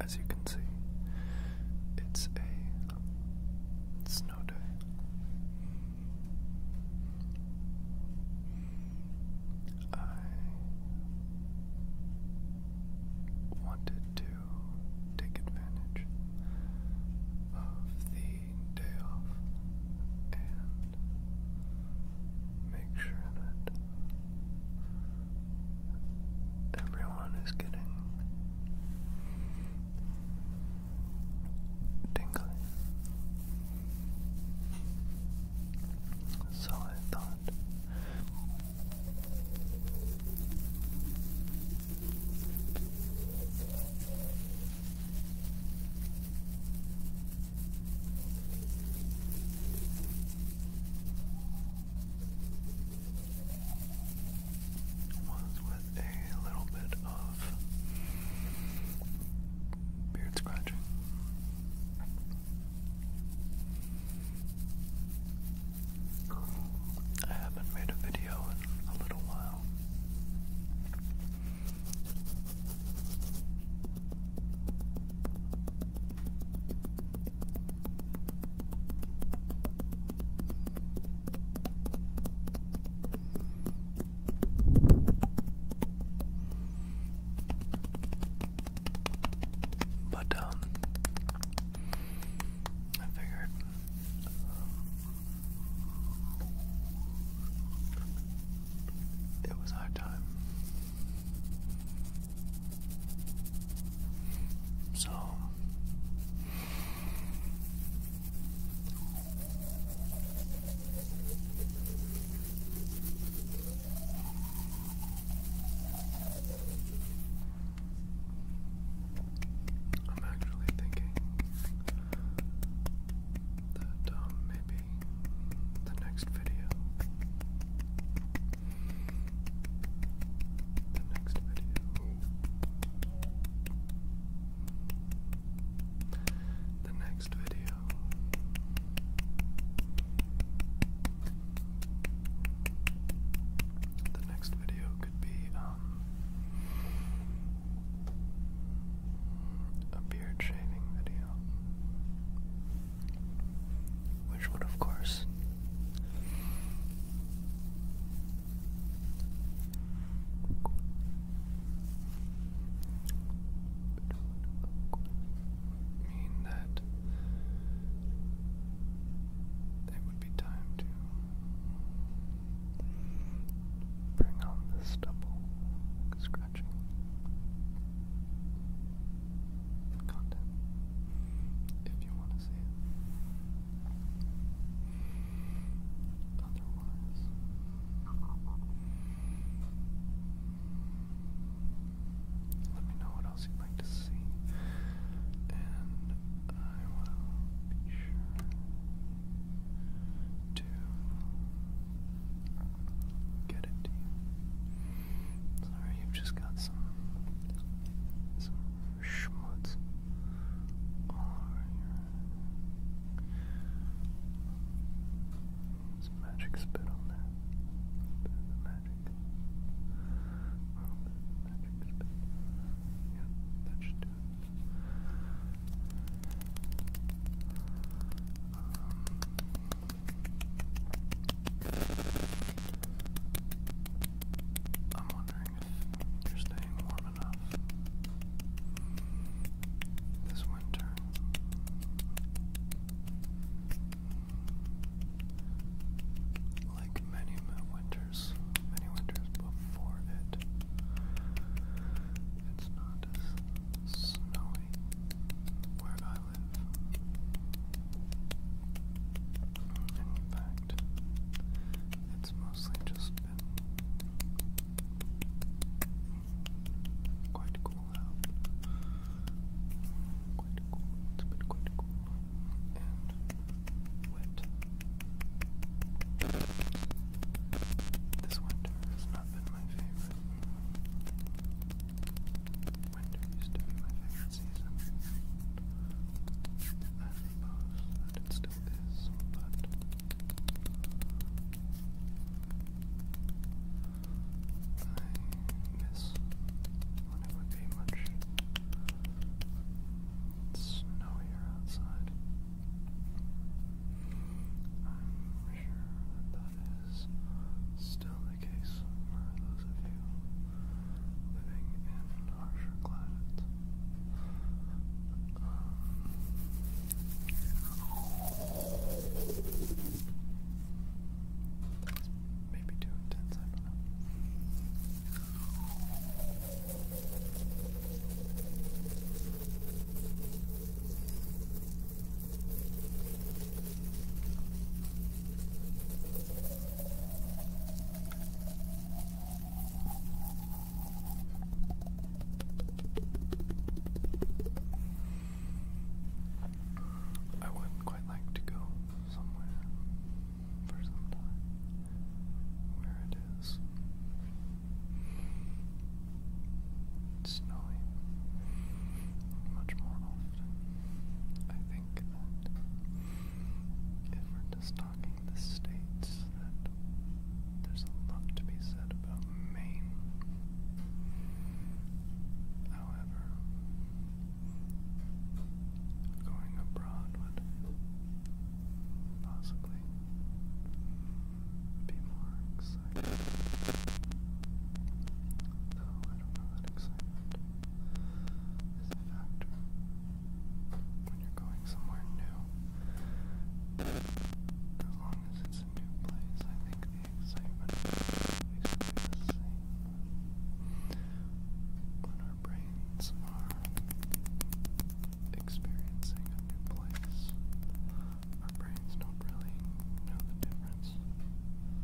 As you can see, it's a snow day. I wanted to take advantage of the day off and make sure that everyone is getting tingly. So I thought was with a little bit of beard scratching. I haven't made a video in a little while. But, um, I figured. It was high time so I'm actually thinking that um, maybe the next video the next video. The next video. The next video could be um a beard shaving video which would, of course, mean that it would be time to bring on this double scratching content if you want to see it. Otherwise, let me know what else you'd like to see, and I will be sure to get it you. Sorry, you've just got some some schmutz all over your some magic spit on there. the magic. magic spit. Yeah, that should I'm wondering you're staying warm enough this winter. Like many winters, many winters before it, it's not snowy where I live. And in fact, it's mostly just been quite cool out. Quite cool. It's been quite cool and wet. This winter has not been my favorite. Winter used to be my favorite season. I suppose still is, but I miss when it would be much snowier outside. I'm sure that is still the case for those of you living in harsher climates. Um, that's maybe too intense, I don't know. Thank you I would quite like to go somewhere for some time where it is snowy, much more I think that if we're just talking the states, that there's a lot to be said about Maine. However, going abroad would possibly be more excited. I don't know that excitement is a factor when you're going somewhere new. As long as it's a new place, I think the excitement is the same. When our brains are experiencing a new place, our brains don't really know the difference between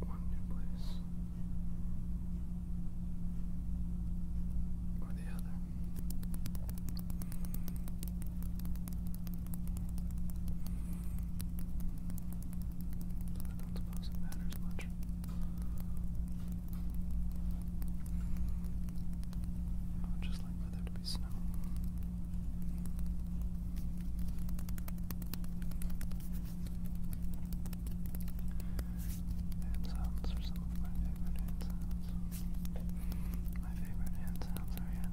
one nucleus or the other. I don't suppose it matters much. I just like for there to be snow. Hand are some of my favorite hand My favorite hand are hand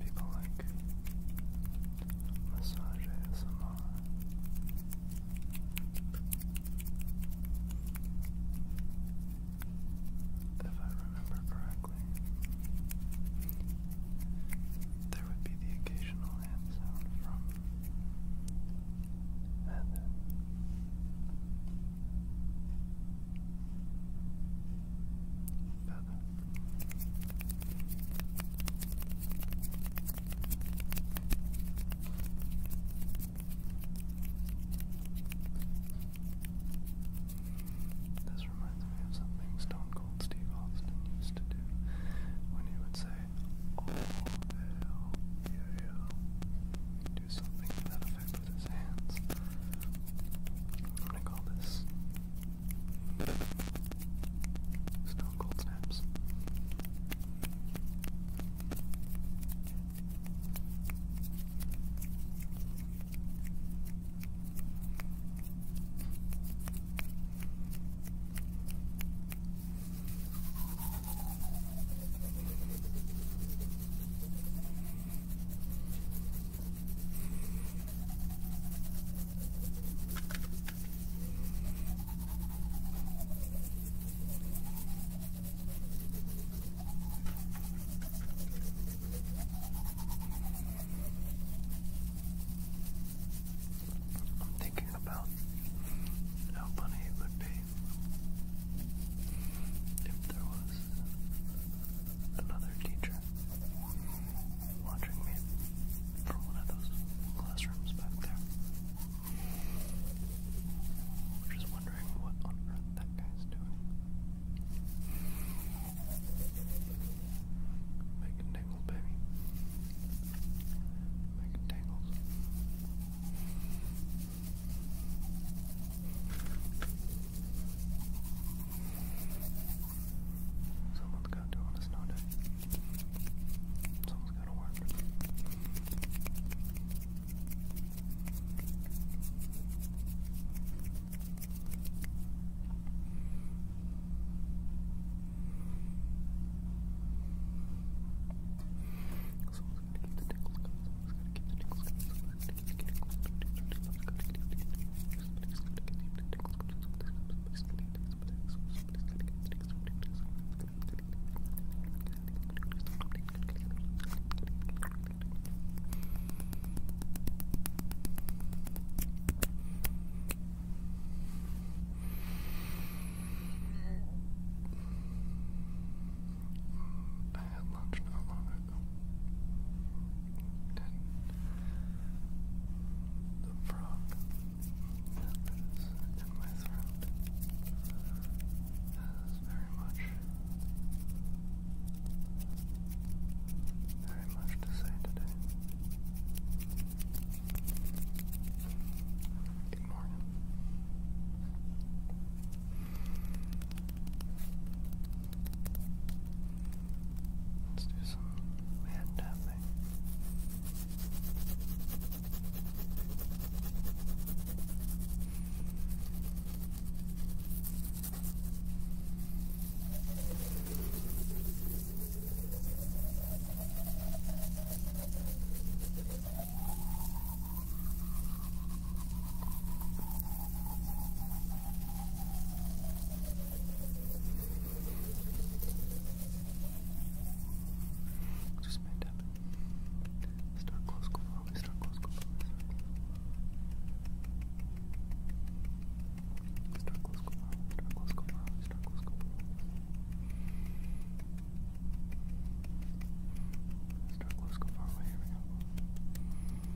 people like massage ASMR. If I remember correctly, there would be the occasional hand sound from Heather. This reminds me of something Stone Cold Steve Austin used to do when he would say, Oh, hell, yeah, yeah. Do something to that effect with his i call this Stone Cold Snaps. I'm thinking about how funny it would be if there was another teacher watching me from one of those classrooms back there. Just wondering what on earth that guy's doing. Making tangles, baby. Making tangles. Someone's got to do on a Someone's got to work. Someone's got to keep the tickles I had lunch not long and the frog that in my throat has very much, very much to say today. Good morning. Let's do some hand tapping. Just made up. Start close, go far away, start close, go far away, start close. Start close, go far away, start close, go far away, start close, go far away. Start close, go far away, here we go.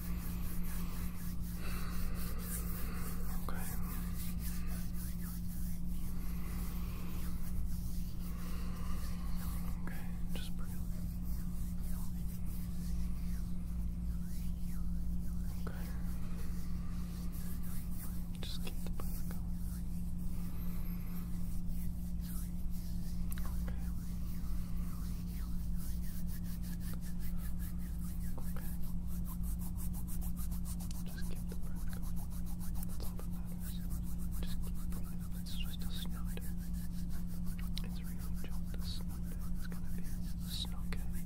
Okay. Okay, just breathe. Okay. Just keep the going. Okay. Okay. Just keep the breath going. That's all that matters. Just keep breathing. It's just a snow day. It's really just a snow day. It's gonna be a snow day. Alright. Okay.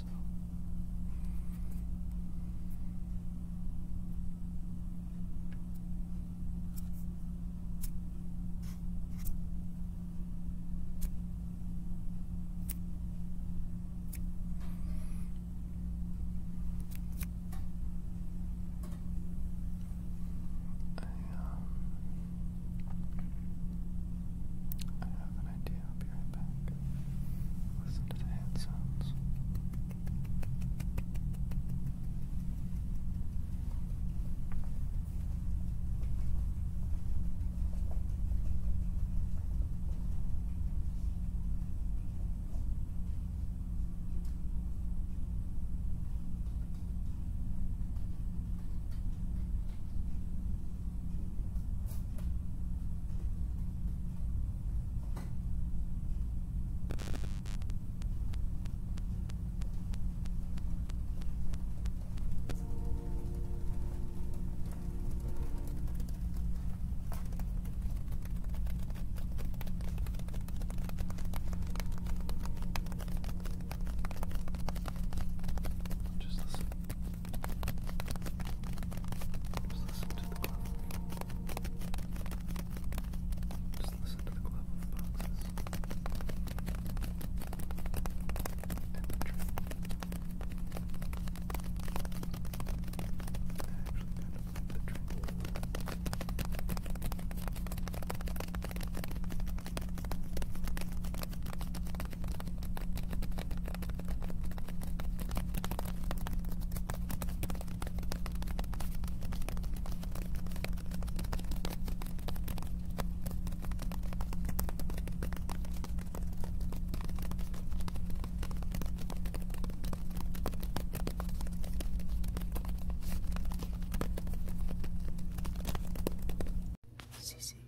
So. I, um, I have an an idea. I'll be right back. Listen to the hand sounds. Just listen. Just listen to the glove. Just listen to the glove of boxes. Temperature. I actually kind of like the drink. Sissy,